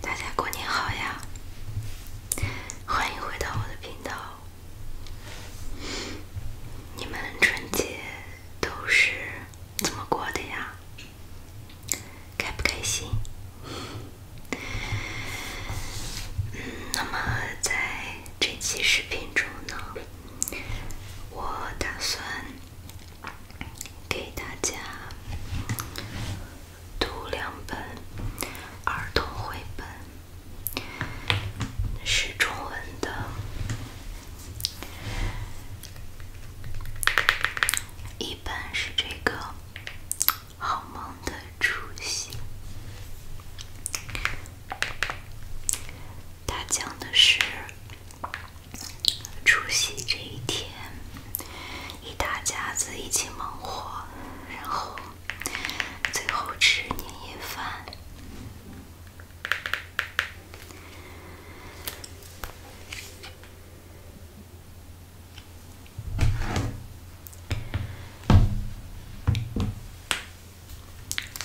大家过年好呀！欢迎回到我的频道。你们春节都是怎么过的呀？开不开心？嗯，那么在这期视频中呢，我打算。给大家读两本儿童绘本，是中文的。一般是这个《好梦的出心》，他讲的是。除夕这一天，一大家子一起忙活，然后最后吃年夜饭。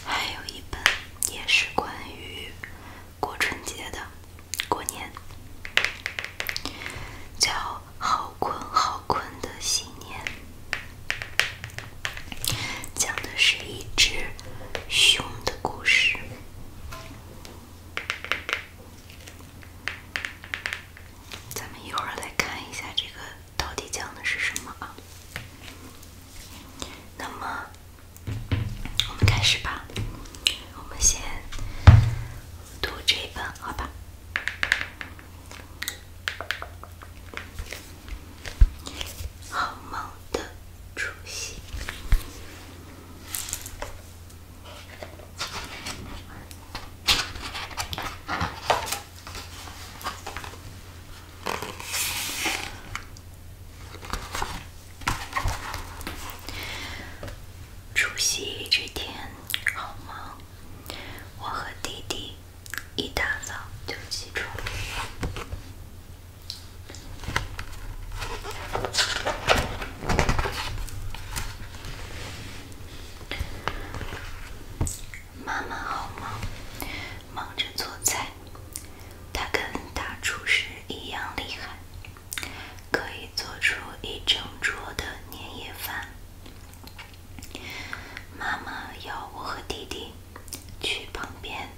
还有一本也是关于。过春节的，过年叫《好困好困的新年》，讲的是一只熊的故事。咱们一会儿来看一下这个到底讲的是什么啊？那么。我们开始吧，我们先读这一本，好吧？好梦的除夕。除夕这天，好忙。我和弟弟一大早就起床。妈妈好忙，忙着做菜。她跟大厨师一样厉害。可以做出一整桌的年夜饭。妈妈要我和弟弟去旁边，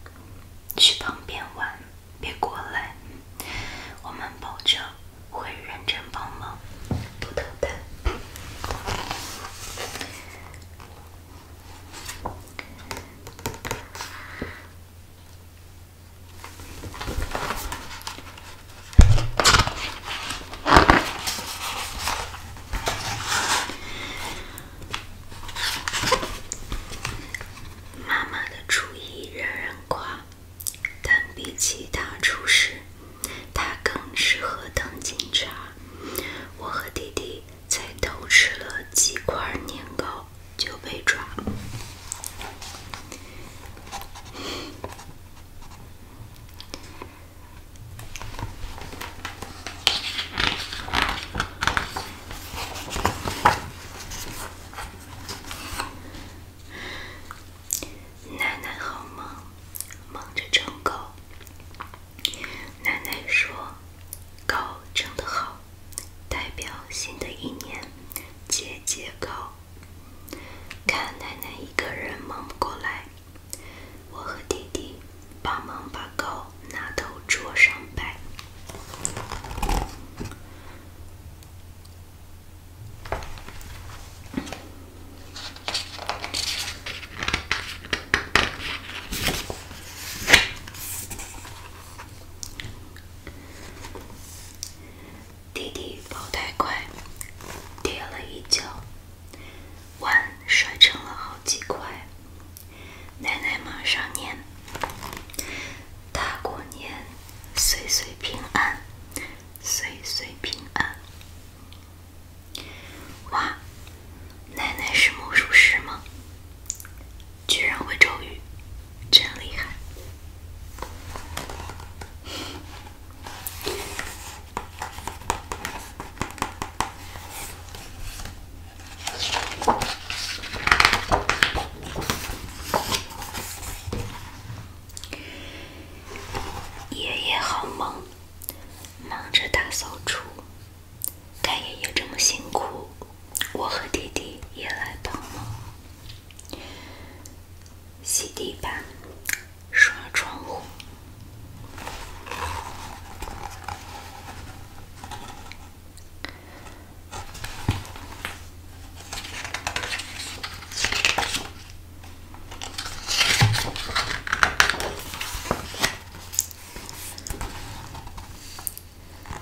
去旁边玩，别过来。我们保证会认真帮忙，不偷懒。妈妈的厨艺人人夸，但比起大厨师，她更适合当警察。我和弟弟才偷吃了几块年糕。就被抓了。奶奶好忙，忙着整糕。奶奶说，糕蒸的好。代表新的一年节节高。看奶奶一个人忙不过来，我和弟弟帮忙把糕拿到桌上摆。弟弟跑太快，跌了一跤，碗摔成了好几块。奶奶马上念：“大过年，岁岁平安，岁岁平安。”哇，奶奶是魔术师吗？居然会咒语，真厉害！爷爷好忙，忙着大扫除。看爷爷这么辛苦，我和弟弟也来帮忙。洗地板，刷窗户。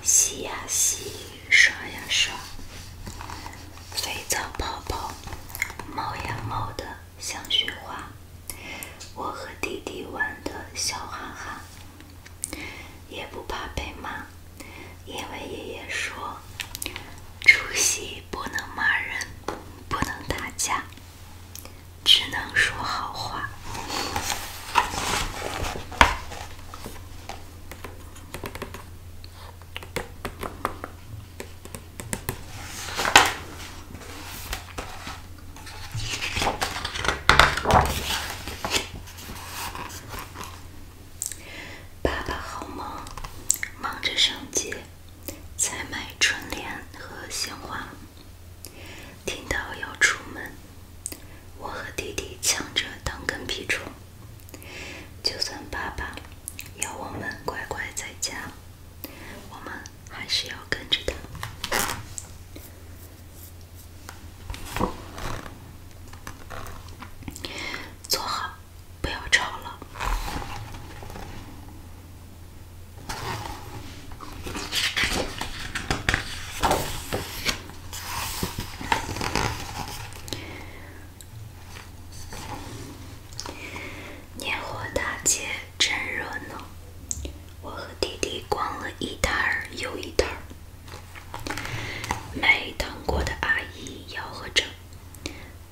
洗呀洗，刷呀刷，肥皂泡泡冒呀冒的像雪花。我和弟弟玩的笑哈哈，也不怕被骂，因为爷爷说：除夕不能骂人，不能打架，只能说好话。爸爸好忙，忙着上街采买春联和鲜花。听到要出门，我和弟弟抢着当跟屁虫。就算爸爸要我们乖乖在家，我们还是要跟着他。坐好，不要吵了。年货大街真热闹，我和弟弟逛了一摊儿又一摊儿。卖糖果的阿姨吆喝着：“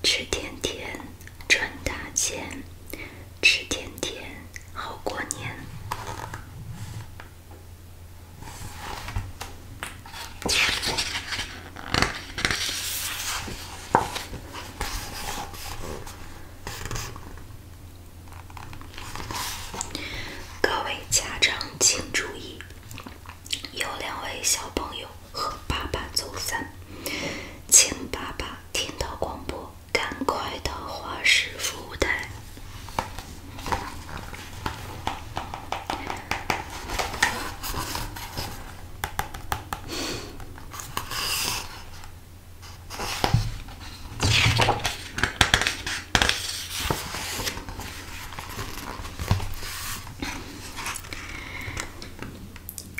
吃甜甜，赚大钱；吃甜甜，好过年。”各位家长请注意，有两位小朋友和爸爸走散，请爸爸听到广播，赶快到华师服务台。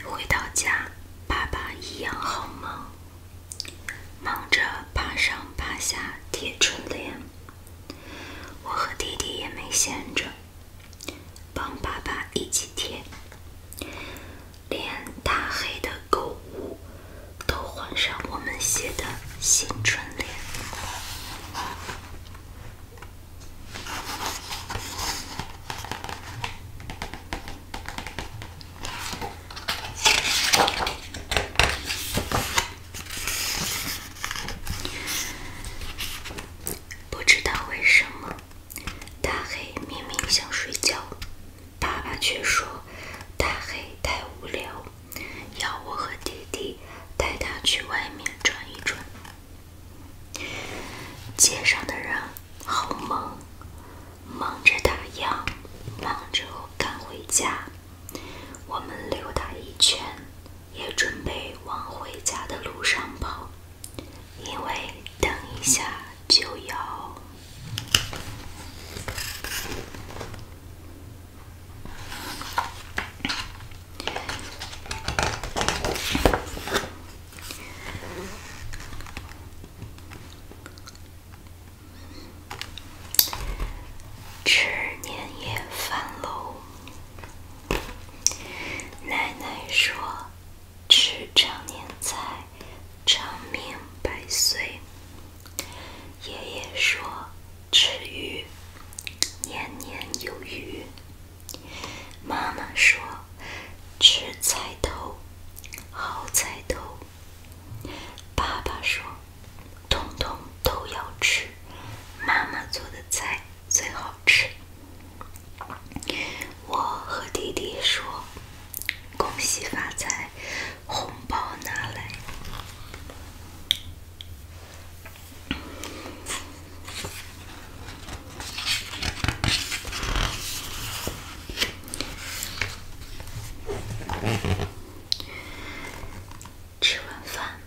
回到家，爸爸一样好忙，忙着爬上爬下贴春联。我和弟弟也没闲着，帮爸爸一起贴，连大黑的狗屋都换上我们写的新春联。不知道为什么，大黑明明想睡觉，爸爸却说大黑太无聊，要我和弟弟带他去外面转一转。街上的人好忙，忙着打烊，忙着赶回家。我们溜达一圈。也准备往回家的路上跑，因为等一下就要吃年夜饭喽。奶奶说：“吃长年菜，长命百岁。”爷爷说：“吃鱼，年年有余。”妈妈说：“吃菜头，好菜头。”爸爸说：“通通都要吃，妈妈做的菜。”最好吃。我和弟弟说：“恭喜发财，红包拿来。”吃完饭，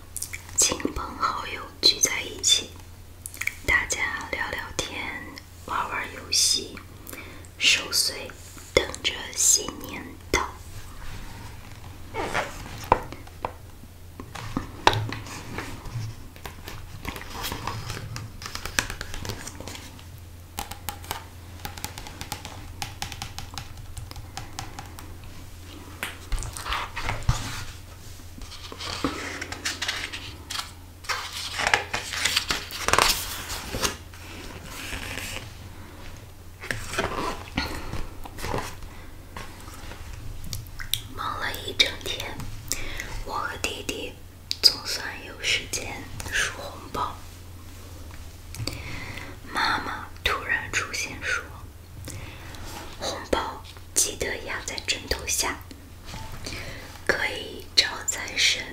亲朋好友聚在一起，大家聊聊天，玩玩游戏，守岁，等着新年到。忙了一整天，我和弟弟总算有时间数红包。妈妈突然出现说。红包记得压在枕头下，可以招财神、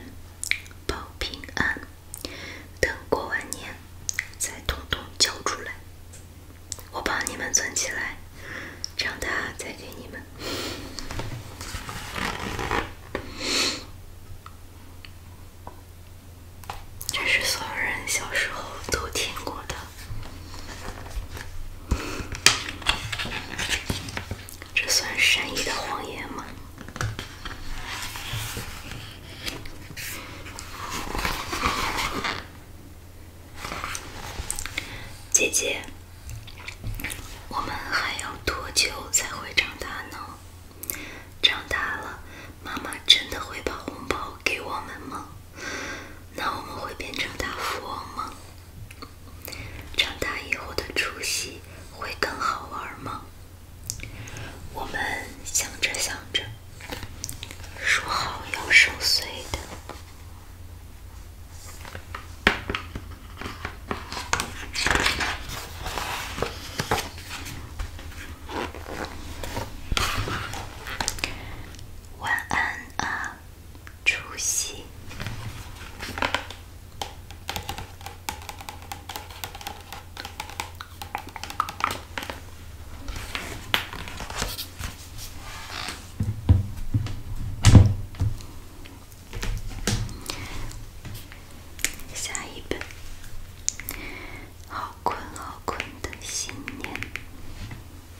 保平安。等过完年再统统交出来，我帮你们存起来，长大再给你们。这是所有人小时候都听过的。这算善意的谎言吗？姐姐，我们还要多久才会长大呢？长大了，妈妈真的会把红包给我们吗？那我们会变成大富翁吗？长大以后的除夕会更好玩吗？我们想着想着，说好要守岁的。晚安啊，初心。下一本，好困好困的新年。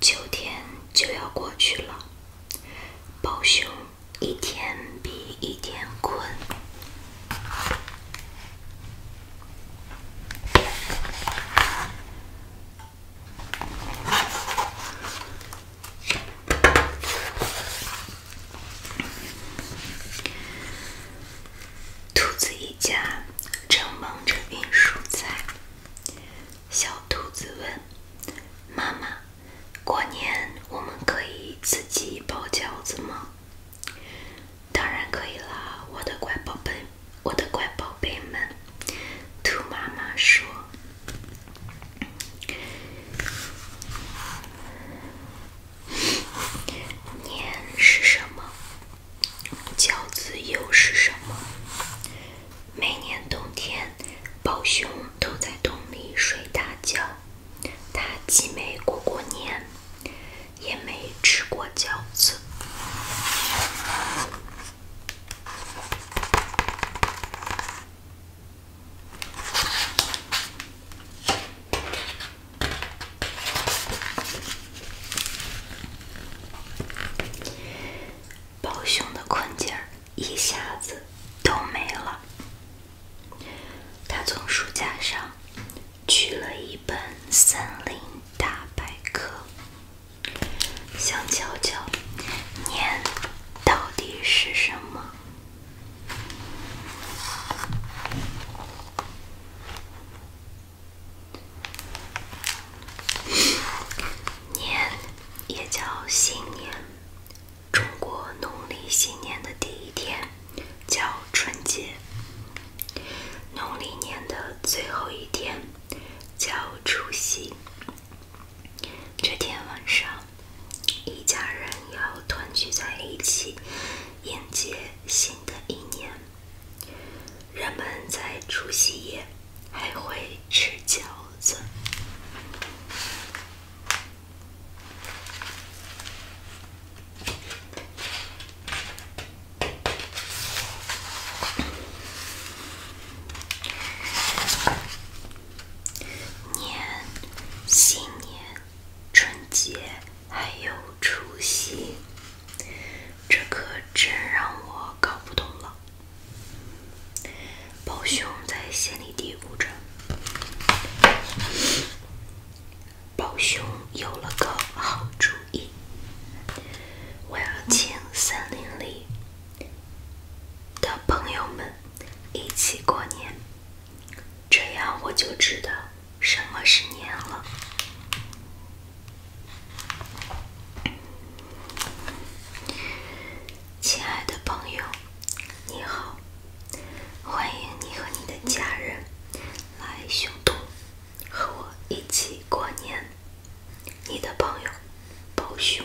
秋天就要过去了，宝兄一天比一天困。兔子一家正忙着运蔬菜。小兔子问：“妈妈，过年我们可以自己包饺子吗？”“当然可以啦，我的乖宝贝，我的乖宝贝们。”兔妈妈说。年是什么？饺子又是什么？每年冬天，宝熊都在洞里睡大觉。他既没过过年，也没吃过饺子。包熊的困境儿一下子都没了。他从书架上取了一本《森林大百科》，想瞧瞧年到底是什么。年也叫新年，中国农历新年的第一天叫春节，农历年的最后一天叫除夕。这天晚上，一家人要团聚在一起，迎接新的一年。人们在除夕夜还会吃饺子。年，新年，春节，还有除夕，这可真让我搞不懂了。宝熊在心里嘀咕着。宝熊有了个好主意，我要请森林里的朋友们一起过年。这样我就知道什么是年了，亲爱的朋友，你好，欢迎你和你的家人来雄都和我一起过年。你的朋友，包熊。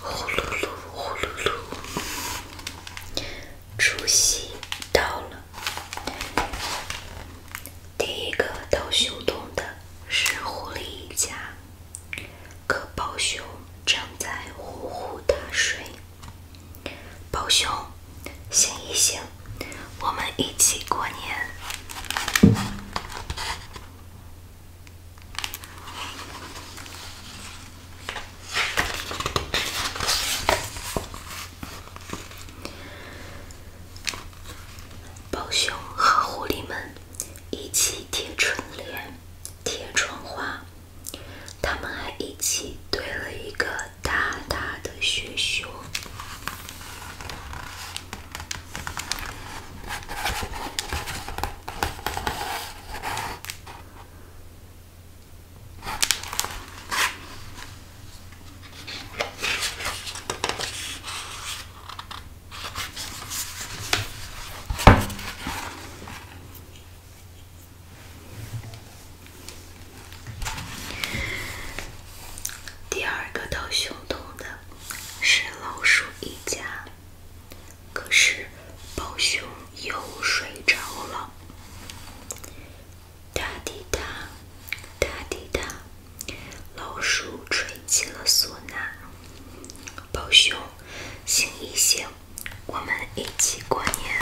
呼噜噜，呼噜噜，除夕到了，第一个到熊洞的是狐狸一家。可宝熊正在呼呼大睡，宝熊，醒一醒，我们一起过年。宝熊和狐狸们一起贴春联、贴窗花，他们还一起堆了一个大大的雪球。第二个到熊洞的是老鼠一家。可是，宝熊又睡着了。哒嘀哒，哒嘀哒，老鼠吹起了唢呐。宝熊，醒一醒，我们一起过年。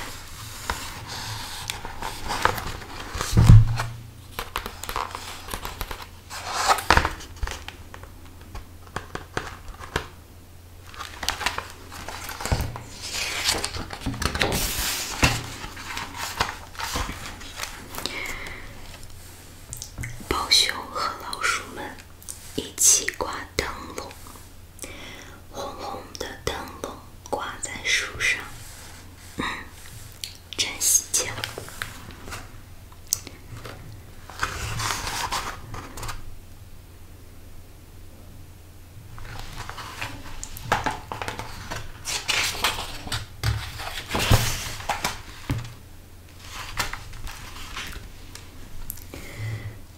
宝熊和老鼠们一起挂灯笼，红红的灯笼挂在树上，真喜庆。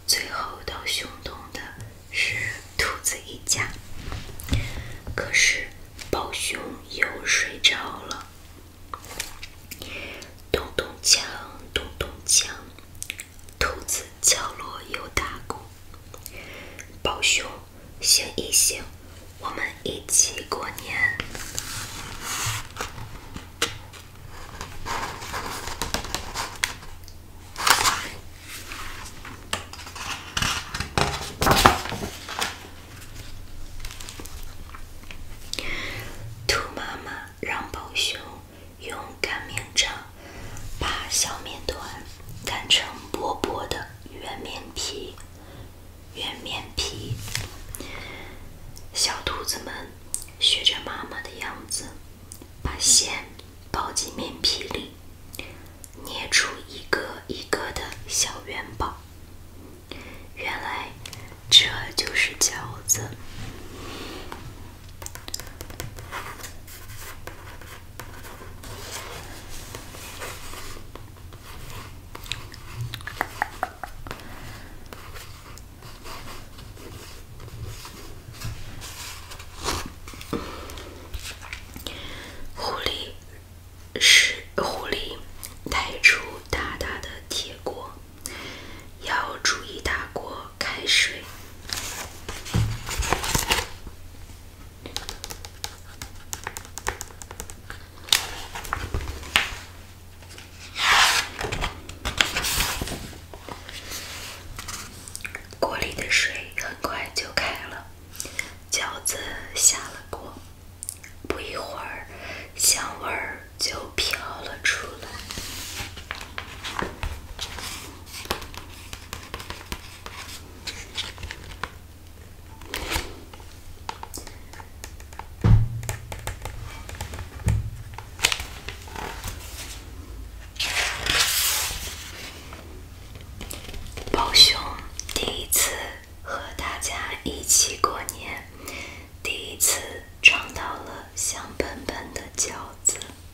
最后到熊洞的是兔子一家，可是宝熊又睡着了。咚咚锵，咚咚锵，兔子。敲锣又打鼓，宝熊醒一醒，我们一起过年。兔妈妈让宝熊。用擀面杖把小面团擀成薄薄的圆面皮，圆面皮。小兔子们学着妈妈的样子，把馅包进面皮里，捏出一个一个的小元宝。原来这就是饺子。狐狸是狐狸，带出大大的铁锅，要煮一大锅。开水，锅里的水很快就开了，饺子下了锅，不一会儿，香味儿就飘了出来。宝兄，第一次和大家一起过年，第一次尝到了香喷喷的饺子。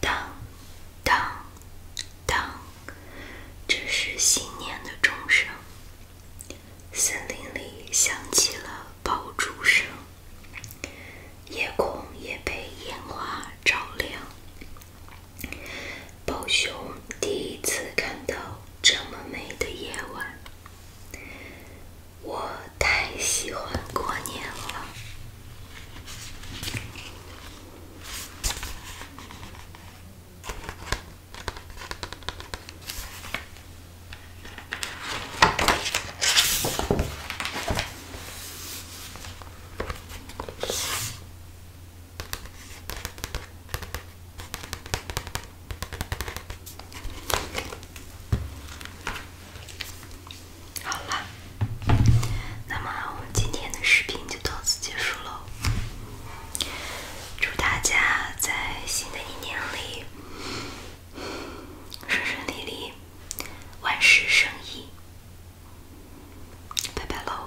当，当，当！这是新年的钟声。森林里响起了爆竹声，夜空也被烟花照亮。宝熊第一次看到这么美的夜晚。我太喜欢过年了。好了，那么我们今天的视频就到此结束喽。祝大家在新的一年里顺顺利利，万事胜意。拜拜喽！